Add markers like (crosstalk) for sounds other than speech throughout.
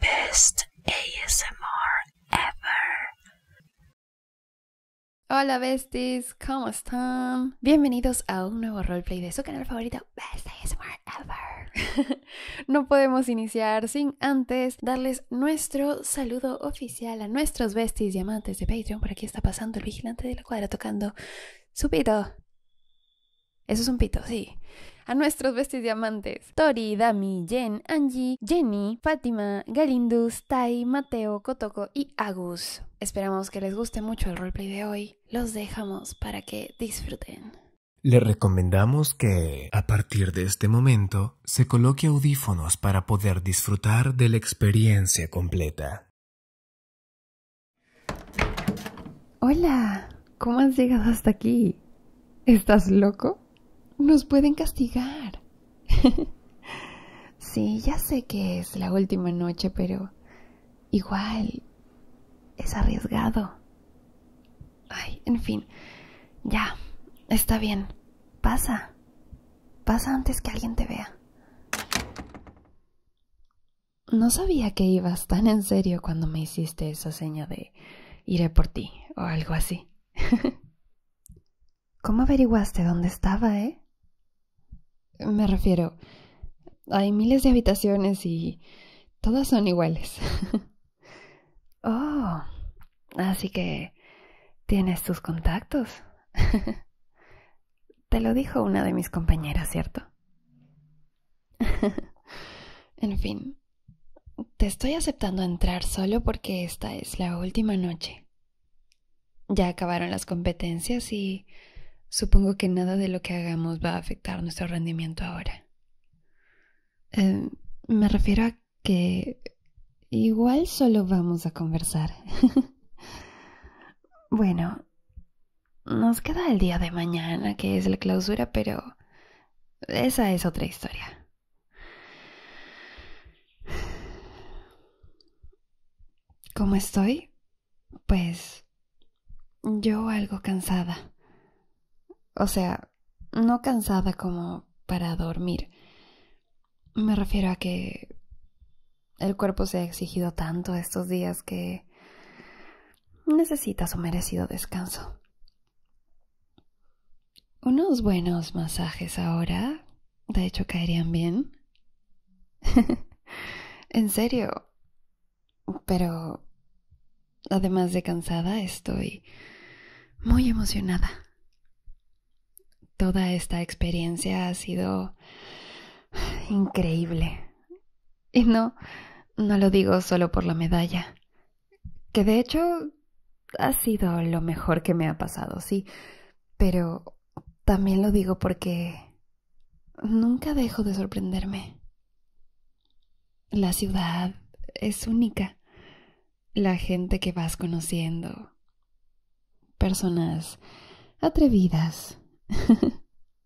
Best ASMR ever. Hola besties, ¿cómo están? Bienvenidos a un nuevo roleplay de su canal favorito, Best ASMR ever. (laughs) no podemos iniciar sin antes darles nuestro saludo oficial a nuestros besties diamantes de Patreon. Por aquí está pasando el vigilante de la cuadra tocando su pito. Eso es un pito, sí. A nuestros vestidos diamantes. Tori, Dami, Jen, Angie, Jenny, Fátima, Galindus, Tai, Mateo, Kotoko y Agus. Esperamos que les guste mucho el roleplay de hoy. Los dejamos para que disfruten. Le recomendamos que, a partir de este momento, se coloque audífonos para poder disfrutar de la experiencia completa. Hola, ¿cómo has llegado hasta aquí? ¿Estás loco? Nos pueden castigar. (laughs) sí, ya sé que es la última noche, pero igual es arriesgado. Ay, en fin, ya, está bien. Pasa. Pasa antes que alguien te vea. No sabía que ibas tan en serio cuando me hiciste esa seña de iré por ti o algo así. (laughs) ¿Cómo averiguaste dónde estaba, eh? Me refiero, hay miles de habitaciones y todas son iguales. (laughs) oh, así que tienes tus contactos. (laughs) Te lo dijo una de mis compañeras, ¿cierto? (laughs) en fin, te estoy aceptando entrar solo porque esta es la última noche. Ya acabaron las competencias y supongo que nada de lo que hagamos va a afectar nuestro rendimiento ahora. Em, me refiero a que igual solo vamos a conversar. (laughs) bueno, nos queda el día de mañana, que es la clausura, pero esa es otra historia. ¿Cómo estoy? Pues yo algo cansada. O sea, no cansada como para dormir. Me refiero a que el cuerpo se ha exigido tanto estos días que necesita su merecido descanso. Unos buenos masajes ahora, de hecho, caerían bien. (laughs) en serio. Pero, además de cansada, estoy muy emocionada. Toda esta experiencia ha sido increíble. Y no, no lo digo solo por la medalla, que de hecho ha sido lo mejor que me ha pasado, sí, pero también lo digo porque nunca dejo de sorprenderme. La ciudad es única. La gente que vas conociendo. Personas atrevidas. (laughs)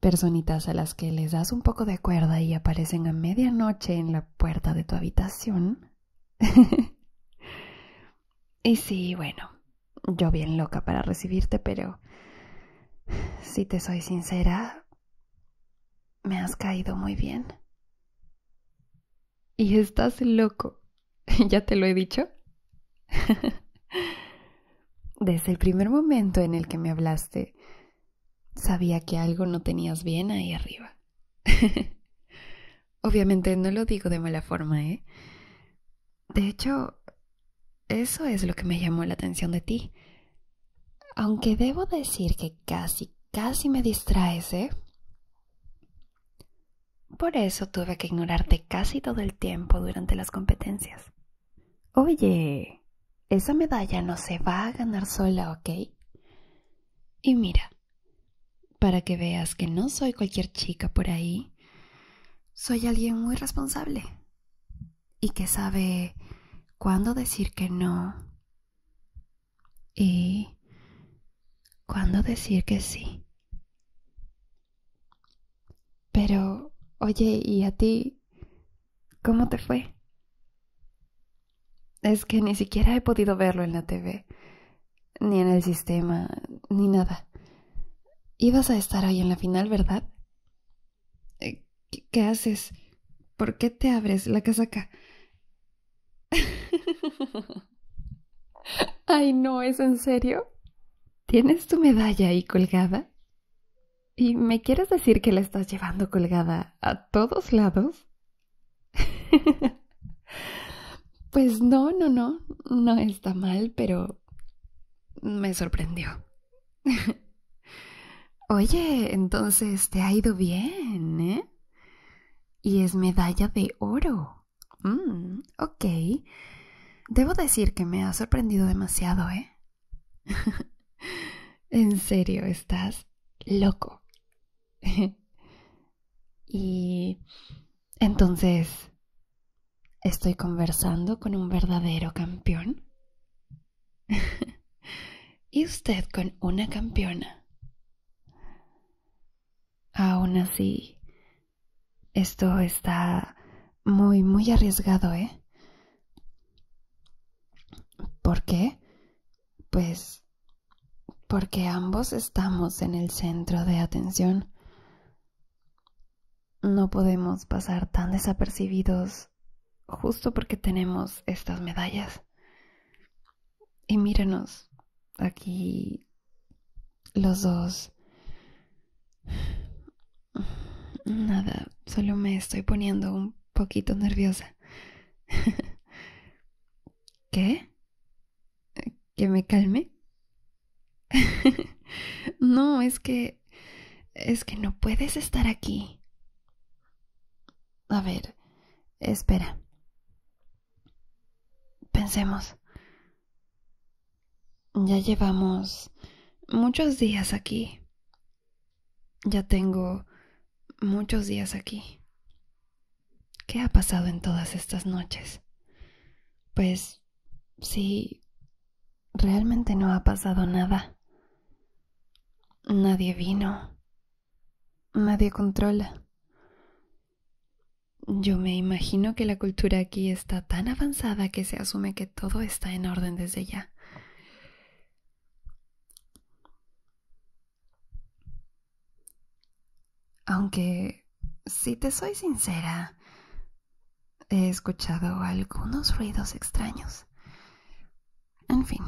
personitas a las que les das un poco de cuerda y aparecen a medianoche en la puerta de tu habitación. (laughs) y sí, bueno, yo bien loca para recibirte, pero si te soy sincera, me has caído muy bien. Y estás loco. (laughs) ¿Ya te lo he dicho? (laughs) Desde el primer momento en el que me hablaste, Sabía que algo no tenías bien ahí arriba. (laughs) Obviamente no lo digo de mala forma, ¿eh? De hecho, eso es lo que me llamó la atención de ti. Aunque debo decir que casi, casi me distraes, ¿eh? Por eso tuve que ignorarte casi todo el tiempo durante las competencias. Oye, esa medalla no se va a ganar sola, ¿ok? Y mira, para que veas que no soy cualquier chica por ahí, soy alguien muy responsable y que sabe cuándo decir que no y cuándo decir que sí. Pero, oye, ¿y a ti ¿Cómo te fue? Es que ni siquiera he podido verlo en la TV, ni en el sistema, ni nada. Ibas a estar ahí en la final, ¿verdad? Eh, ¿Qué, haces? ¿Por qué te abres la casaca? (laughs) Ay, no, ¿es en serio? ¿Tienes tu medalla ahí colgada? ¿Y me quieres decir que la estás llevando colgada a todos lados? (laughs) pues no, no, no, no está mal, pero me sorprendió. (laughs) Oye, entonces te ha ido bien, ¿eh? Y es medalla de oro. Mm, ok. Debo decir que me ha sorprendido demasiado, ¿eh? (laughs) en serio, estás loco. (laughs) y entonces, ¿estoy conversando con un verdadero campeón? (laughs) ¿Y usted con una campeona? Aún así, esto está muy, muy arriesgado, ¿eh? ¿Por qué? Pues porque ambos estamos en el centro de atención. No podemos pasar tan desapercibidos justo porque tenemos estas medallas. Y mírenos, aquí los dos Nada, solo me estoy poniendo un poquito nerviosa. (laughs) ¿Qué? ¿Que me calme? (laughs) no, es que... es que no puedes estar aquí. A ver, espera. Pensemos. Ya llevamos muchos días aquí. Ya tengo muchos días aquí. ¿Qué ha pasado en todas estas noches? Pues sí, realmente no ha pasado nada. Nadie vino. Nadie controla. Yo me imagino que la cultura aquí está tan avanzada que se asume que todo está en orden desde ya. Aunque, si te soy sincera, he escuchado algunos ruidos extraños. En fin,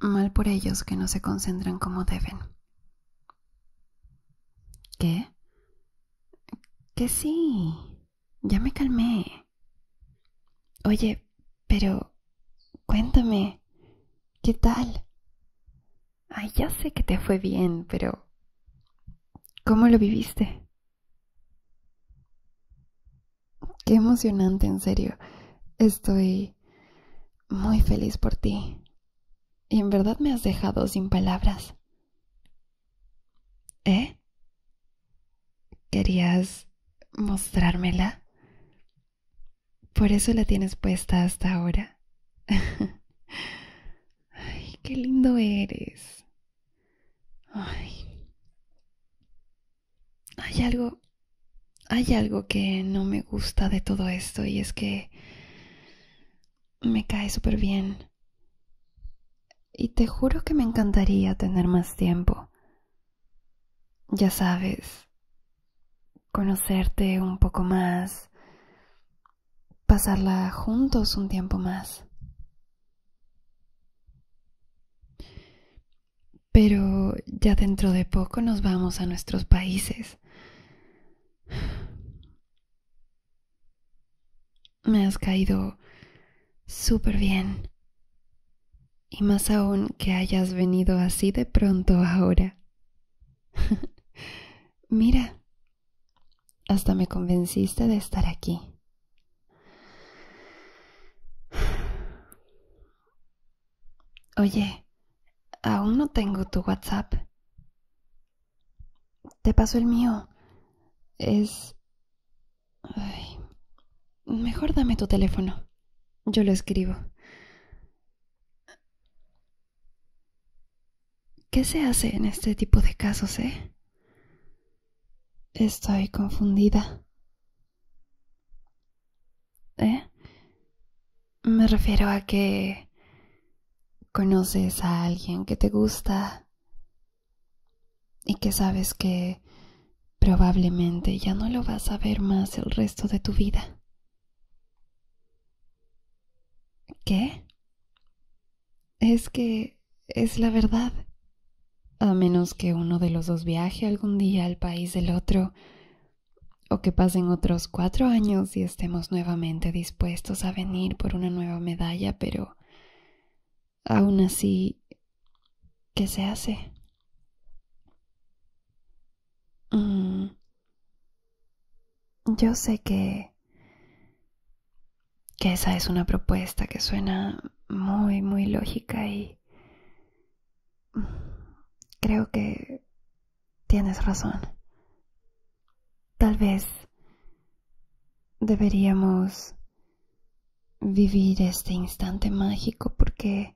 mal por ellos que no se concentran como deben. ¿Qué? ¿Qué sí. Ya me calmé. Oye, pero cuéntame, ¿qué tal? Ay, ya sé que te fue bien, pero ¿cómo lo viviste? Qué emocionante, en serio. Estoy muy feliz por ti. Y en verdad me has dejado sin palabras. ¿Eh? ¿Querías mostrármela? Por eso la tienes puesta hasta ahora. (laughs) Ay, qué lindo eres. Hay algo. Hay algo que no me gusta de todo esto y es que me cae súper bien. Y te juro que me encantaría tener más tiempo ya sabes, conocerte un poco más, pasarla juntos un tiempo más. Pero ya dentro de poco nos vamos a nuestros países. (sighs) Me has caído súper bien y más aún que hayas venido así de pronto ahora. (laughs) Mira, hasta me convenciste de estar aquí. (sighs) Oye, aún no tengo tu WhatsApp. Te paso el mío. Es Ay, mejor dame tu teléfono. Yo lo escribo. ¿Qué se hace en este tipo de casos, eh? Estoy confundida. ¿Eh? Me refiero a que conoces a alguien que te gusta y que sabes que probablemente ya no lo vas a ver más el resto de tu vida. ¿Qué? Es que es la verdad. A menos que uno de los dos viaje algún día al país del otro, o que pasen otros cuatro años y estemos nuevamente dispuestos a venir por una nueva medalla, pero Aún así, ¿qué se hace? Mm, yo sé que... que esa es una propuesta que suena muy, muy lógica y... Creo que tienes razón. Tal vez deberíamos vivir este instante mágico porque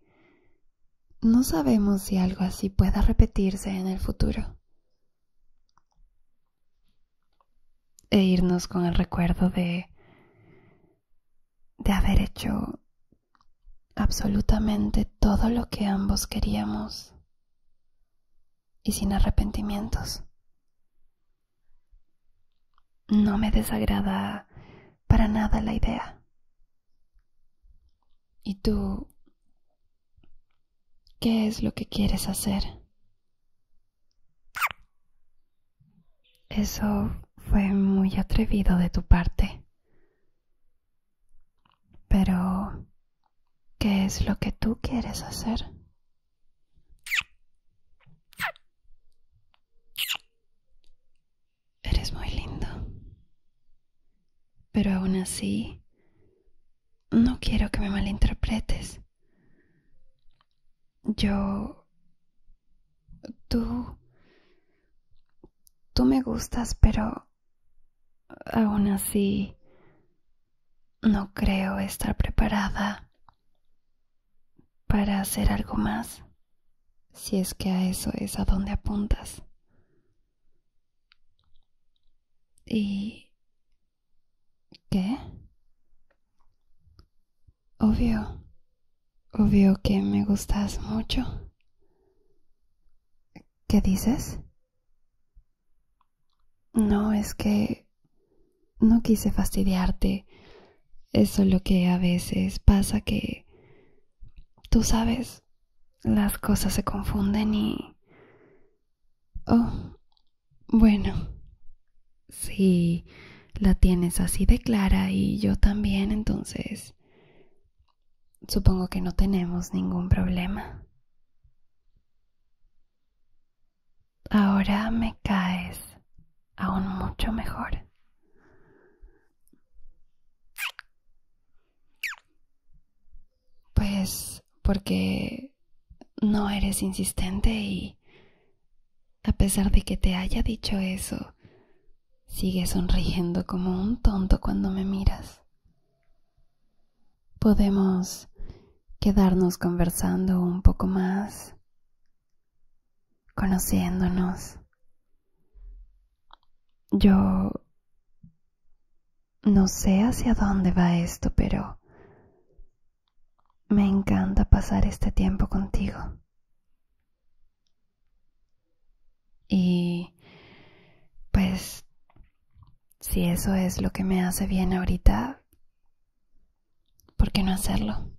no sabemos si algo así pueda repetirse en el futuro. E irnos con el recuerdo de de haber hecho absolutamente todo lo que ambos queríamos y sin arrepentimientos. No me desagrada para nada la idea. ¿Y tú? ¿Qué es lo que quieres hacer? Eso fue muy atrevido de tu parte. Pero, ¿qué es lo que tú quieres hacer? Eres muy lindo. Pero aún así, no quiero que me malinterpretes. Yo... Tú... Tú me gustas, pero... Aún así... No creo estar preparada para hacer algo más, si es que a eso es a donde apuntas. ¿Y qué? Obvio, obvio que me gustas mucho. ¿Qué dices? No, es que no quise fastidiarte. Es solo que a veces pasa que... Tú sabes, las cosas se confunden y... Oh, bueno. Si la tienes así de clara y yo también, entonces... Supongo que no tenemos ningún problema. Ahora me caes aún mucho mejor. Pues porque no eres insistente y a pesar de que te haya dicho eso, sigues sonriendo como un tonto cuando me miras. Podemos quedarnos conversando un poco más conociéndonos. Yo no sé hacia dónde va esto, pero me encanta pasar este tiempo contigo. Y pues si eso es lo que me hace bien ahorita, ¿por qué no hacerlo?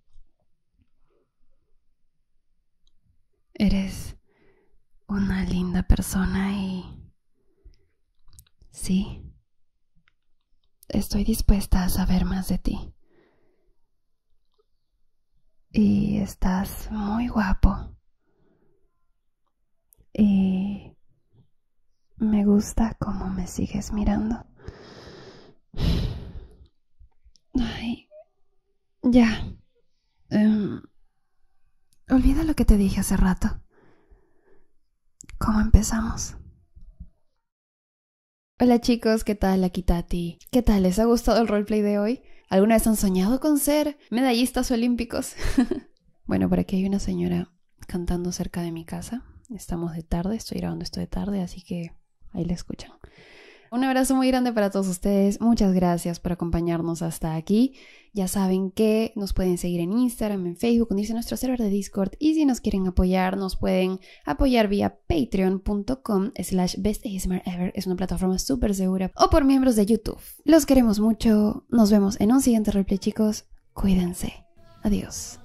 Eres una linda persona y... Sí. Estoy dispuesta a saber más de ti. Y estás muy guapo. Y me gusta cómo me sigues mirando. Ay. Ya. Em, olvida lo que te dije hace rato. ¿Cómo empezamos? Hola chicos, ¿qué tal? Aquí ti. ¿Qué tal? ¿Les ha gustado el roleplay de hoy? ¿Alguna vez han soñado con ser medallistas olímpicos? (laughs) bueno, por aquí hay una señora cantando cerca de mi casa. Estamos de tarde, estoy grabando esto de tarde, así que Ahí la escuchan. Un abrazo muy grande para todos ustedes. Muchas gracias por acompañarnos hasta aquí. Ya saben que nos pueden seguir en Instagram, en Facebook, unirse a nuestro server de Discord y si nos quieren apoyar, nos pueden apoyar vía patreon.com slash ever. Es una plataforma súper segura. O por miembros de YouTube. Los queremos mucho. Nos vemos en un siguiente replay, chicos. Cuídense. Adiós.